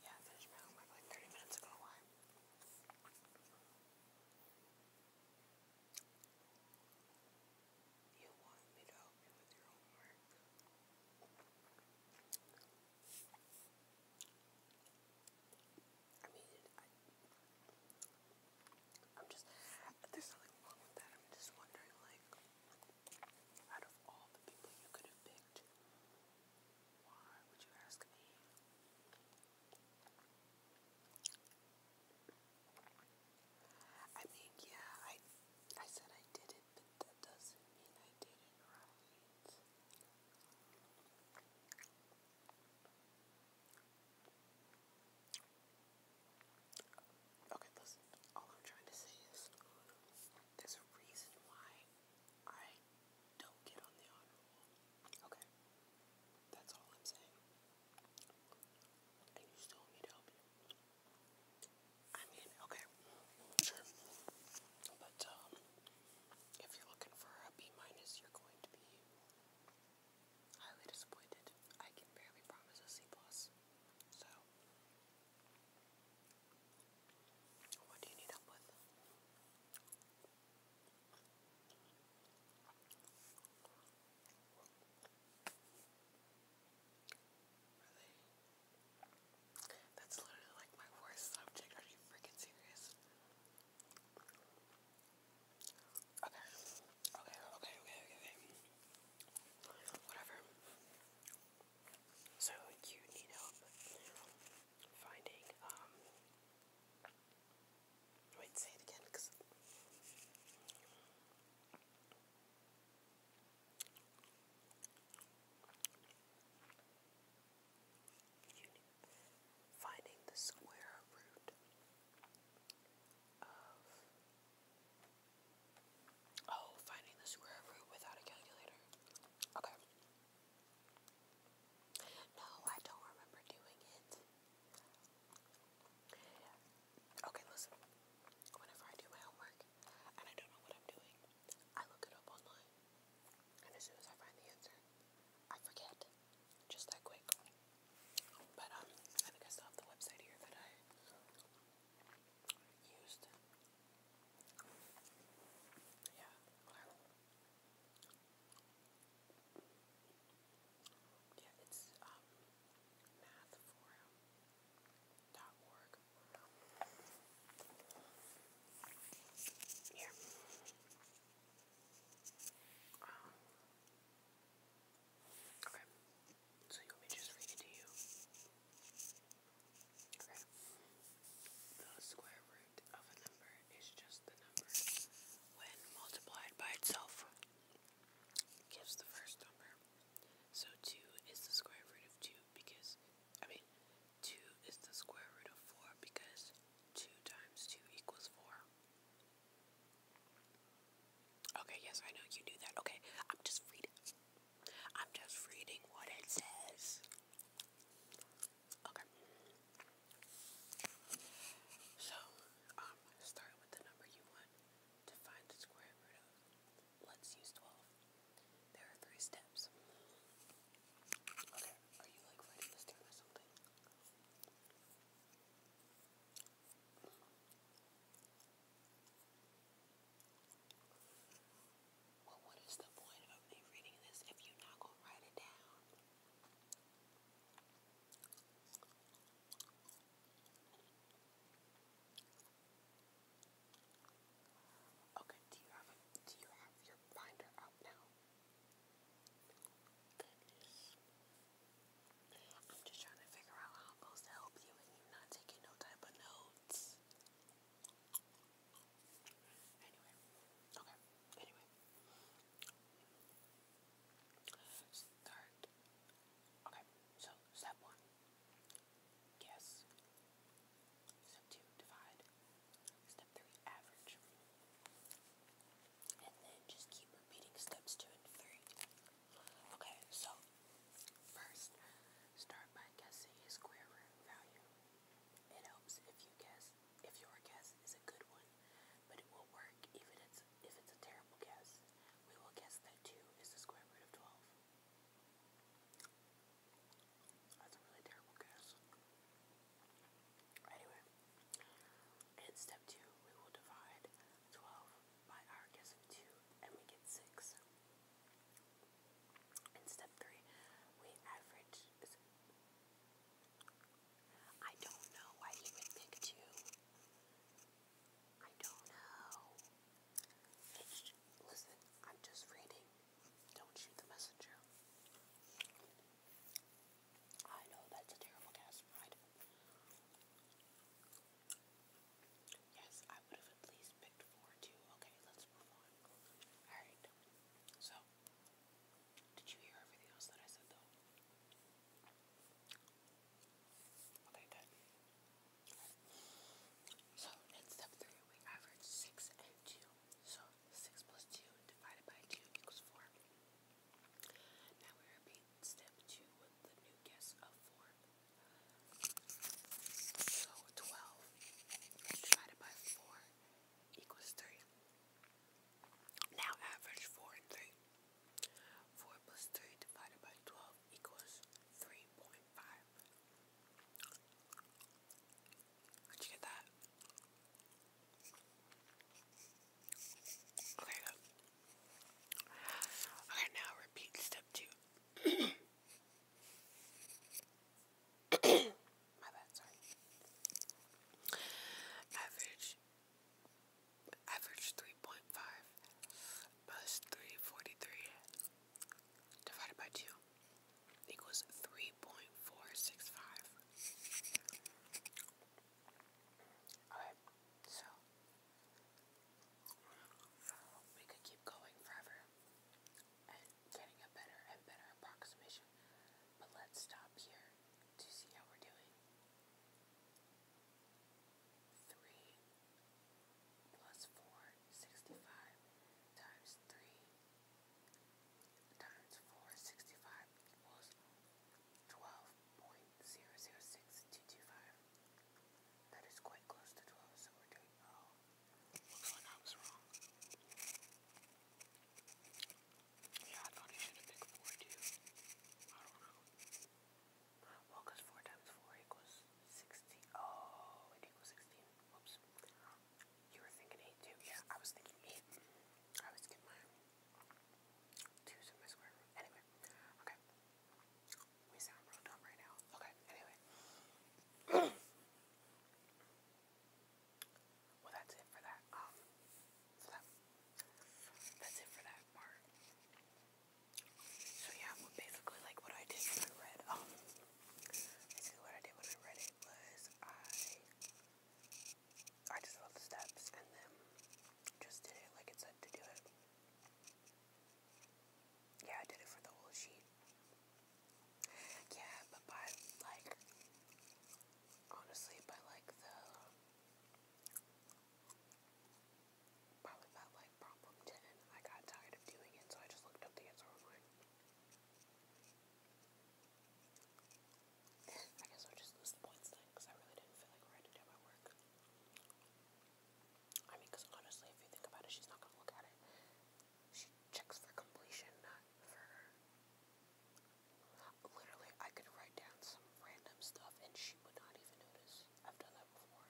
Yeah, finished my homework like 30 minutes ago. Why? You want me to help with your homework? I mean, I, am just, there's nothing wrong with that. I'm just wondering, like, out of all the people you could have picked, why would you ask me? I mean, yeah, I I said I did it, but that doesn't mean I did it Okay, listen, all I'm trying to say is there's a reason why I don't get on the honor roll. Okay? That's all I'm saying. And you still need help. I mean, okay, sure. But um, if you're looking for a B minus, you're going to be highly disappointed. I can barely promise a C plus. So, what do you need help with? Really? That's literally like my worst subject. Are you freaking serious? Okay. Okay, okay, okay, okay. Whatever. So you need help finding um Wait, say it again, because. Finding the square root Oh, finding the square root without a calculator. Okay. No, I don't remember doing it. Okay, listen. Whenever I do my homework and I don't know what I'm doing, I look it up online. And as soon as I find the answer, I forget. Just that quick. But um, I think I still have the website here that I used. Yeah, yeah, it's um, mathforum.org. Here. Um, okay. So you want me to just read it to you? Okay the square root of a number is just the number when multiplied by itself gives the first number. So 2 is the square root of 2 because, I mean, 2 is the square root of 4 because 2 times 2 equals 4. Okay, yes, I know you do that. Okay, I'm just reading. I'm just reading what it says. Okay. So, um, start with the number you want to find the square root of. Let's use 12. There are three steps. Okay, are you like writing this down or something? what is the point of me reading this if you're not gonna write it down? Okay, do you have do you have your binder out now? I'm just trying to figure out how I'm supposed to help you and you're not taking no type of notes. Anyway, okay, anyway. Start. Okay, so step one. Guess. Step two, divide. Step three, average. And then just keep repeating steps two and three. Okay, so first, start by guessing a square root value. It helps if you guess if your guess is a good one, but it will work even it's, if it's a terrible guess. We will guess that 2 is the square root of 12. That's a really terrible guess. Anyway, in step 2, we will divide 12 by our guess of 2, and we get 6. In step 3, we average I don't know why he would pick two. I don't know. listen, I'm just reading. Don't shoot the messenger. I know that's a terrible gas Yes, I would have at least picked four too. Okay, let's move on. Alright. So did you hear everything else that I said though? Okay, good. So in step three, we average six and two. So six plus two divided by two equals four. Now we repeat step two with the new guess of four. So twelve divided by four equals three. Now average 4 and 3. 4 plus 3 divided by 12 equals 3.5. Did you get that? Okay, good. Okay, now repeat step 2. My Average average 3.5 plus 343 divided by 2 equals 3.465. Alright, so we could keep going forever and getting a better and better approximation, but let's stop here to see how we're doing. Three plus four, sixty-five times three times four, sixty-five equals twelve point zero zero six two two five. That is quite close to twelve, so we're doing Well, no, I wrong. Yeah, I thought he should have picked 4 too. I don't know. Well, because 4 times 4 equals 16. Oh, it equals 16. Whoops. You were thinking 8 too. Yeah, I was thinking 8. I always get my 2's in my square root. Anyway, okay. We sound real dumb right now. Okay, anyway. Well, that's it for that. so um, that's it for that So yeah, basically, like what I did when I read, um, basically what I did when I read it was I I just followed the steps and then just did it like it said to do it. Yeah, I did it for the whole sheet. Yeah, but by like honestly, by like the probably about like problem ten, I got tired of doing it, so I just looked up the answer I guess i just lose the points then, because I really didn't feel like writing my work. I mean, because honestly, if you think about it, she's not gonna look at it. She checks for completion, not for Literally, I could write down some random stuff and she would not even notice. I've done that before.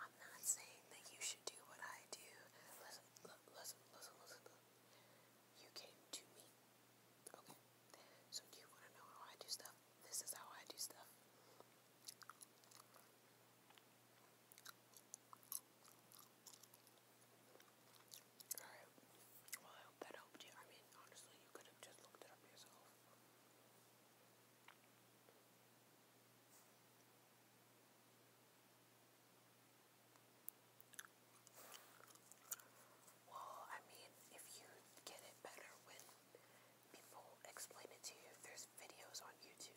I'm not saying that you should do what I do. Listen, listen, listen, listen. You came to me. Okay. So you want to know how I do stuff? This is how I do stuff. Alright. Well, I hope that helped you. I mean, honestly, you could have just looked it up yourself. Well, I mean, if you get it better when people explain it to you, there's videos on YouTube.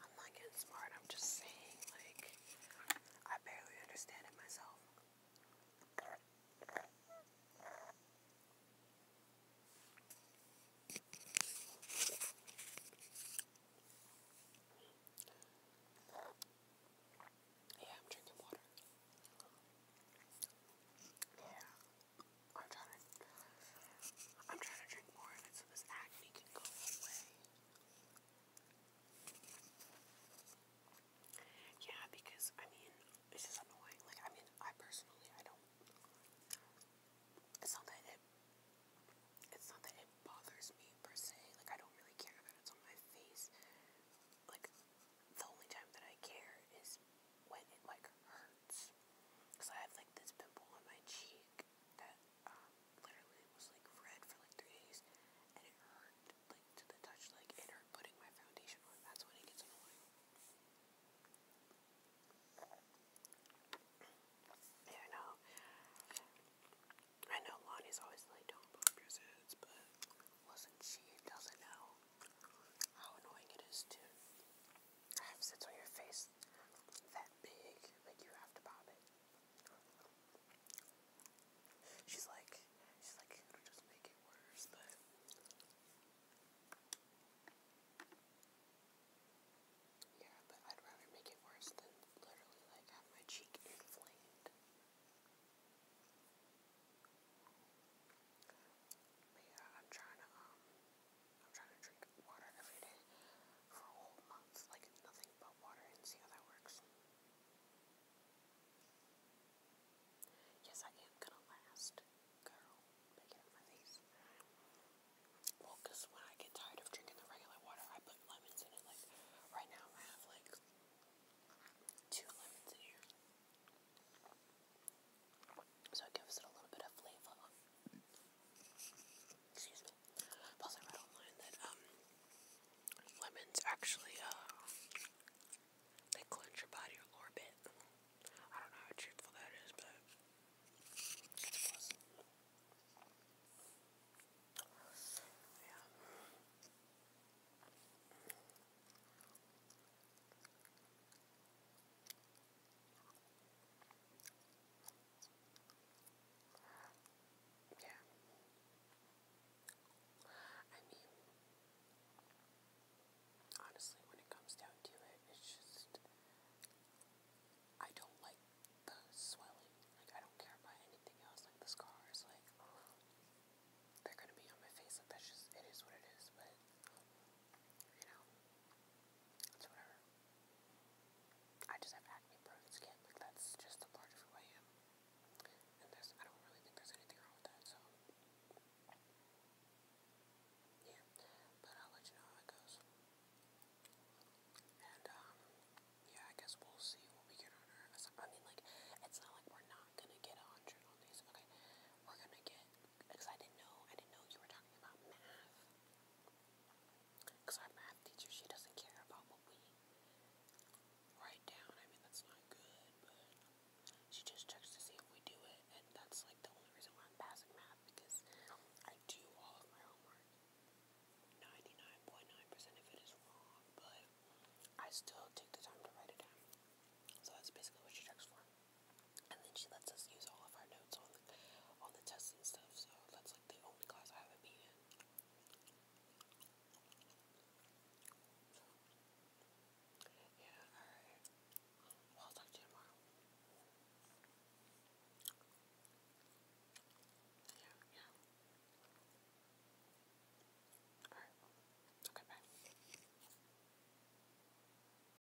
I'm not getting smart, I'm just saying, like, I barely understand it myself. Yeah, I'm drinking water. Yeah. I'm trying to, I'm trying to drink more of it so this acne can go away. Yeah, because, I mean, it's just annoying. Like, I mean, I personally, I don't, it's not that it, it's not that it bothers me per se. Like, I don't really care that it's on my face. Like, the only time that I care is when like hurts. Cause I have like this pimple on my cheek that um, literally was like red for like three days, and it hurt like to the touch. Like it hurt putting my foundation on. That's when it gets annoying. Yeah, I know. I know Lonnie's always like, don't pop your zits, but wasn't she doesn't know how annoying it is to sits on your face that big, like you have to pop it. She's like, she's like, it'll just make it worse, but. Yeah, but I'd rather make it worse than literally like have my cheek inflamed. yeah, I'm trying to um I'm trying to drink water every day for a whole month, like nothing but water, and see how that works. Yes, I am gonna last. Girl, make it my face. Well, when I get tired of drinking the regular water, I put lemons in it. Like, right now I have like two lemons in here. So it gives it a little bit of flavor. Excuse me. Plus, I read online that um, lemons actually uh, they cleanse your body a little bit. I don't know how truthful that is, but Yeah. Yeah. I mean, honestly, when it comes down to it, it's just. I don't like the swelling. Like, I don't care about anything else, like the scars. Like, they're gonna be on my face. Like, that's just. It is what it is, but you know, it's whatever. I just have acne prone skin, like that's just a part of who I am. And there's, I don't really think there's anything wrong with that, so. Yeah, but I'll let you know how it goes. And, um, yeah, I guess we'll see what we get on our, I mean, like, it's not like we're not gonna get a hundred on these, okay? We're gonna get because I didn't know, I didn't know you were talking about math. Because our math teacher, she doesn't care about what we write down. I mean, that's not good, but she just checks to see if we do it, and that's like the only reason why I'm passing math because I do all of my homework. 99.9% percent of it is wrong, but I still take the time to write it down. So that's basically what she checks for and then she lets us use all of our notes on the, on the tests and stuff. So that's like the only class I haven't been in. yeah, alright. Well, will talk to you tomorrow. Yeah, yeah. Alright. Okay, bye.